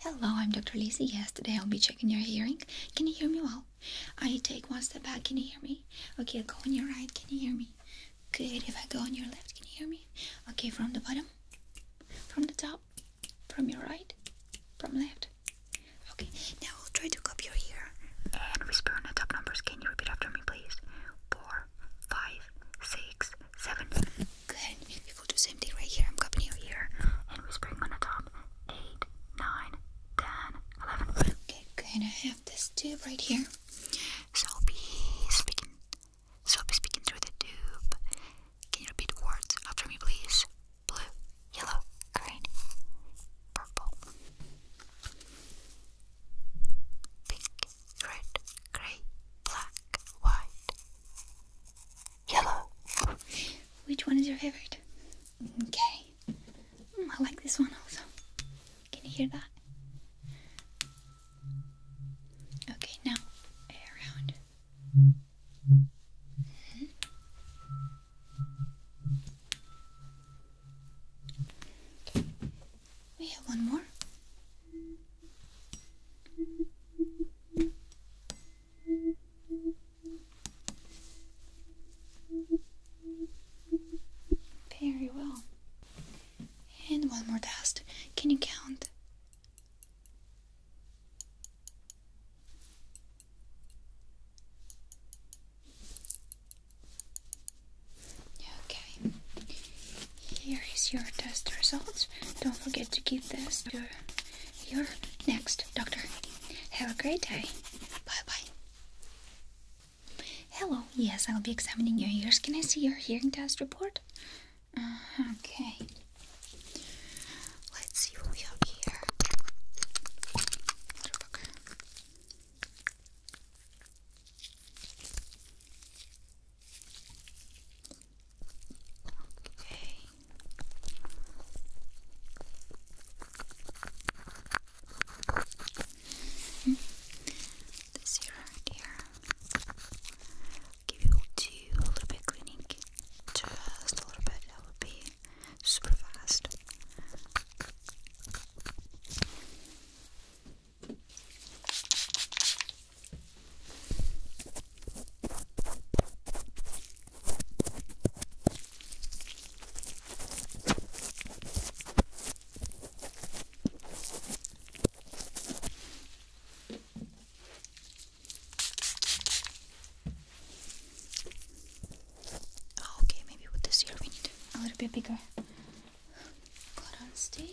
Hello, I'm Dr. Lizzie. Yes, today I'll be checking your hearing. Can you hear me well? I take one step back. Can you hear me? Okay, go on your right. Can you hear me? Good. If I go on your left, can you hear me? Okay, from the bottom, from the top, from your right, from left. Okay, now I'll try to cup your ear and whisper on the top numbers. Can you repeat after me, please? Four, five, six, seven. Good. If we'll do the same thing right here, I'm copying you here and whispering on the top. 8, 9, Okay, good. I have this tube right here. So I'll be speaking. So I'll be speaking through the tube. Can you repeat words after me, please? Blue, yellow, green, purple, pink, red, grey, black, white, Yellow. Which one is your favorite? Okay. Mm, I like this one also. Can you hear that? Okay, now around. Mm-hmm. We have one more. Very well. And one more dust. Can you count? Okay. Here is your test results. Don't forget to give this to your next doctor. Have a great day. Bye bye. Hello, yes, I'll be examining your ears. Can I see your hearing test report? Uh, okay. Let's see what we have here. Okay. this here, here. Give you a little bit cleaning, just a little bit. super fast. Oh, okay, maybe with this here we need a little bit bigger cotton stick.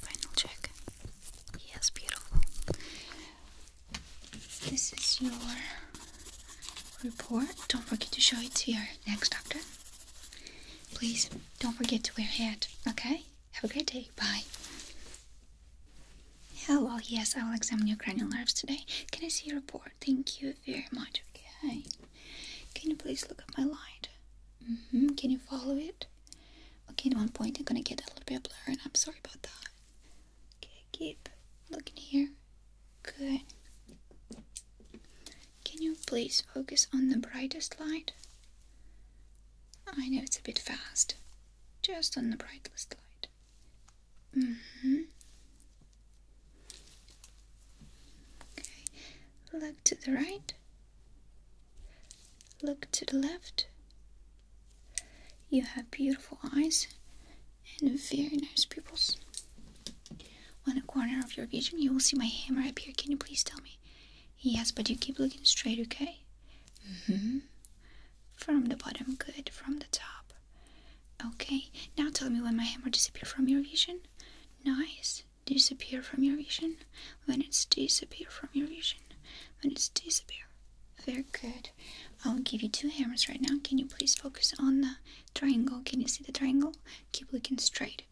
final check. Yes, beautiful. This is your report. Don't forget to show it to your next doctor. Please don't forget to wear a hat, okay? Have a great day. Bye. Well. Yes, I will examine your cranial nerves today. Can I see your report? Thank you very much. Okay. Can you please look at my light? Mm-hmm. Can you follow it? Okay, at one point I'm gonna get a little bit blurry, and I'm sorry about that. Okay, keep looking here. Good. Can you please focus on the brightest light? I know it's a bit fast. Just on the brightest light. Mm-hmm. Okay. Look to the right. Look to the left. You have beautiful eyes and very nice pupils. On the corner of your vision, you will see my hammer up here. Can you please tell me? Yes, but you keep looking straight, okay? hmm From the bottom, good. From the top. Okay, now tell me when my hammer disappeared from your vision. Nice. Disappear from your vision. When it's disappear from your vision. When it's disappear. Very good. I'll give you two hammers right now. Can you please focus on the triangle? Can you see the triangle? Keep looking straight.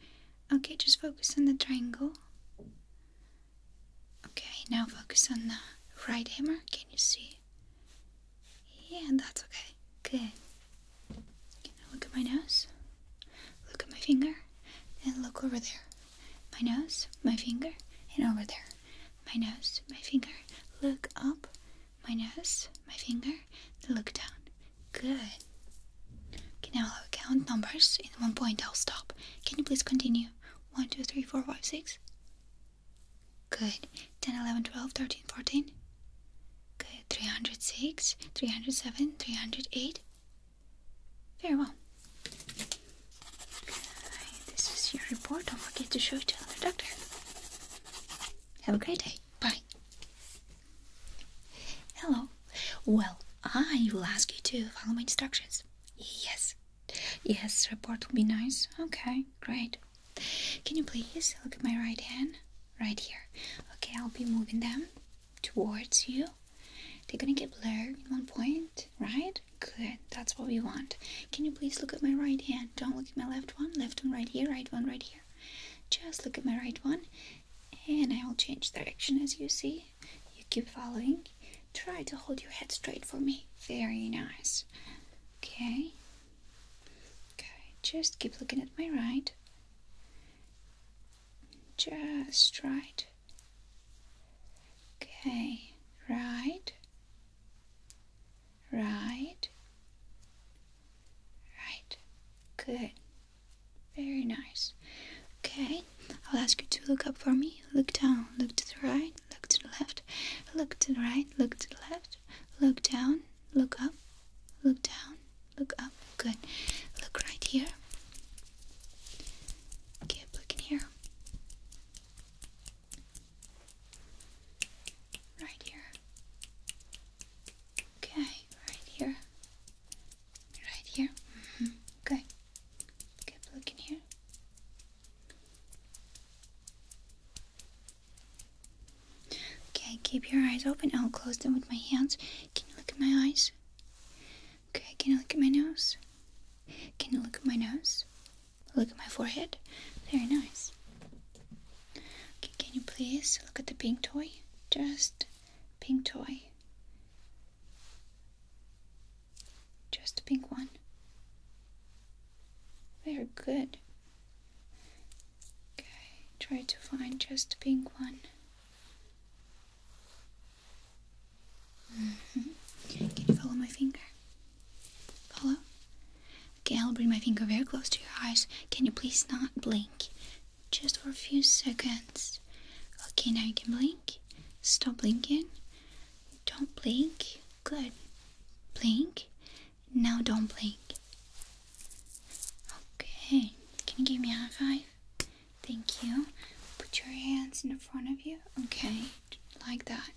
Okay, just focus on the triangle. Okay, now focus on the right hammer. Can you see? Yeah, that's okay. Good. Okay, now look at my nose. Look at my finger. And look over there. My nose, my finger, and over there. My nose, my finger. Look up. My nose, my finger. Look down. Good. Okay, now I'll count numbers. In one point, I'll stop. Can you please continue? 1, 2, 3, 4, 5, 6. Good. 10, 11, 12, 13, 14. Good. 306, 307, 308. Very well. This is your report. Don't forget to show it to another doctor. Have a great day. Bye. Hello. Well, I will ask you to follow my instructions. Yes. Yes, report will be nice. Okay, great. Can you please look at my right hand? Right here. Okay, I'll be moving them towards you. They're gonna get blurred at one point, right? Good, that's what we want. Can you please look at my right hand? Don't look at my left one. Left one right here, right one right here. Just look at my right one and I will change direction as you see. You keep following. Try to hold your head straight for me. Very nice. Okay. Okay, just keep looking at my right. Just right. Okay, right. Right. Right. Good. Very nice. Okay, I'll ask you to look up for me. Look down, look to the right, look to the left, look to the right, look to the left, look down, look up, look down, look up. Good. Look right here. Keep looking here. Right here. Okay, right here. Right here? Okay. Keep looking here. Okay, keep your eyes open. I'll close them with my hands. Can you look at my eyes? Okay, can you look at my nose? Can you look at my nose? Look at my forehead. Very nice. Okay, can you please look at the pink toy? Just pink toy. Just a pink one. Very good. Okay, try to find just a pink one. Mm-hmm. Can you follow my finger? Follow? Okay, I'll bring my finger very close to your eyes. Can you please not blink? just for a few seconds. Okay, now you can blink. Stop blinking. Don't blink. Good. Blink. Now don't blink. Okay, can you give me a high five? Thank you. Put your hands in front of you. Okay, like that.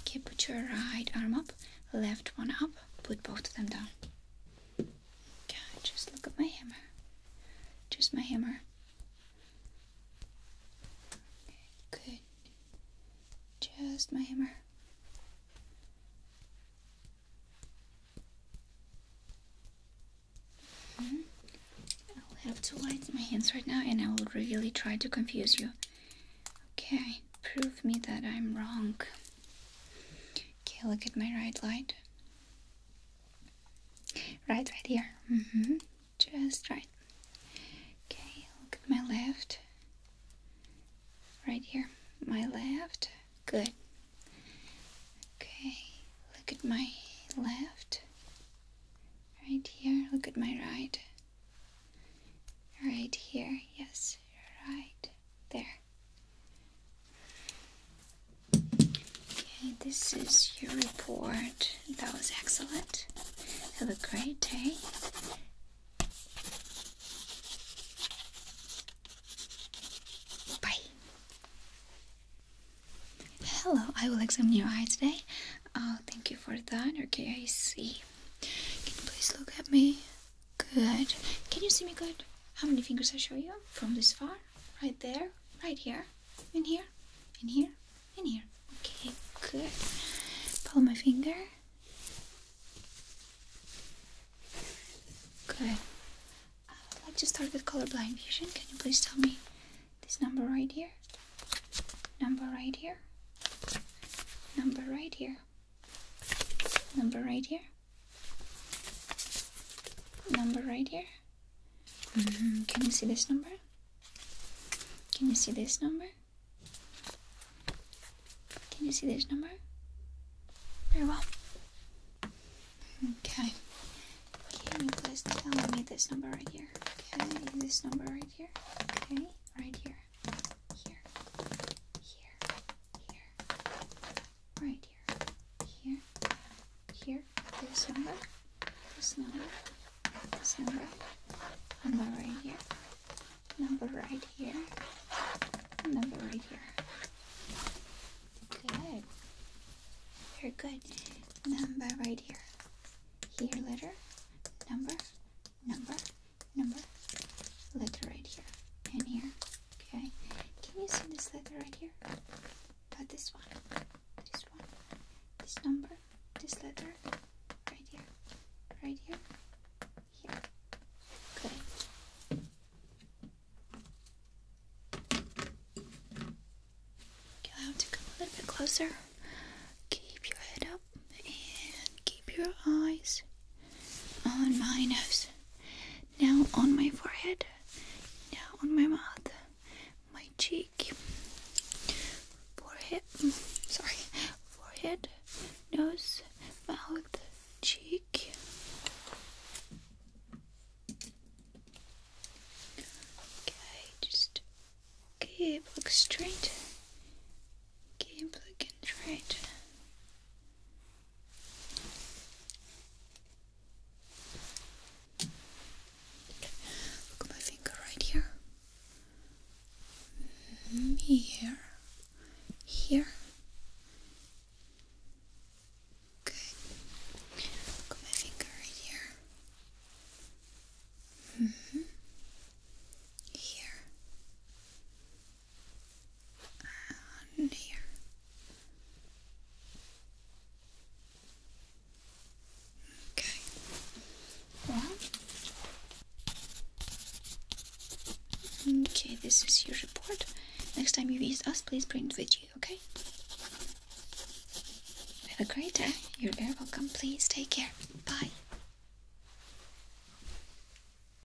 Okay, put your right arm up, left one up, put both of them down. God, just look at my hammer. Just my hammer. Good. Just my hammer. Mm-hmm. I'll have to light my hands right now and I will really try to confuse you. Okay, prove me that I'm wrong. Okay, look at my right light. Right, right here. Mm -hmm. Just right. Okay, look at my left. Right here. My left. Good. Okay, look at my left. Right here. Look at my right. Right here. Yes, right there. Okay, this is your report. That was excellent. Have a great day. Bye. Hello, I will examine your eye today. Oh, thank you for that. Okay, I see. Can you please look at me? Good. Can you see me good? How many fingers I show you? From this far, right there, right here, in here, in here, in here. Okay, good. Pull my finger. Good. I would uh, like to start with colorblind vision. Can you please tell me this number right here? Number right here? Number right here. Number right here. Number right here. Mm-hmm. Can you see this number? Can you see this number? Can you see this number? Very well. Okay. Can you please tell me this number right here? Okay, this number right here. Okay, right here. Here. Here. Here right here, here, here, this number, this number, this number, number right here, number right here, number right here. Good. Very good. Number right here. Here letter, number, number, number, letter right here, and here. Okay, can you see this letter right here? But this one, this one, this number, this letter, right here, right here, here. Okay. you have to come a little bit closer. Keep your head up and keep your eyes on my nose now on my forehead, now on my mouth, my cheek, forehead, sorry, forehead, nose, mouth, cheek. Okay, just keep looking straight, keep looking straight. Look at my finger right here. Mm, here. Here. Good. Look at my finger right here. Mm-hmm. Here here. Okay. One. Okay, this is your report. Next time you visit us, please bring it with you, okay? Have a great day. You're very welcome. Please take care. Bye.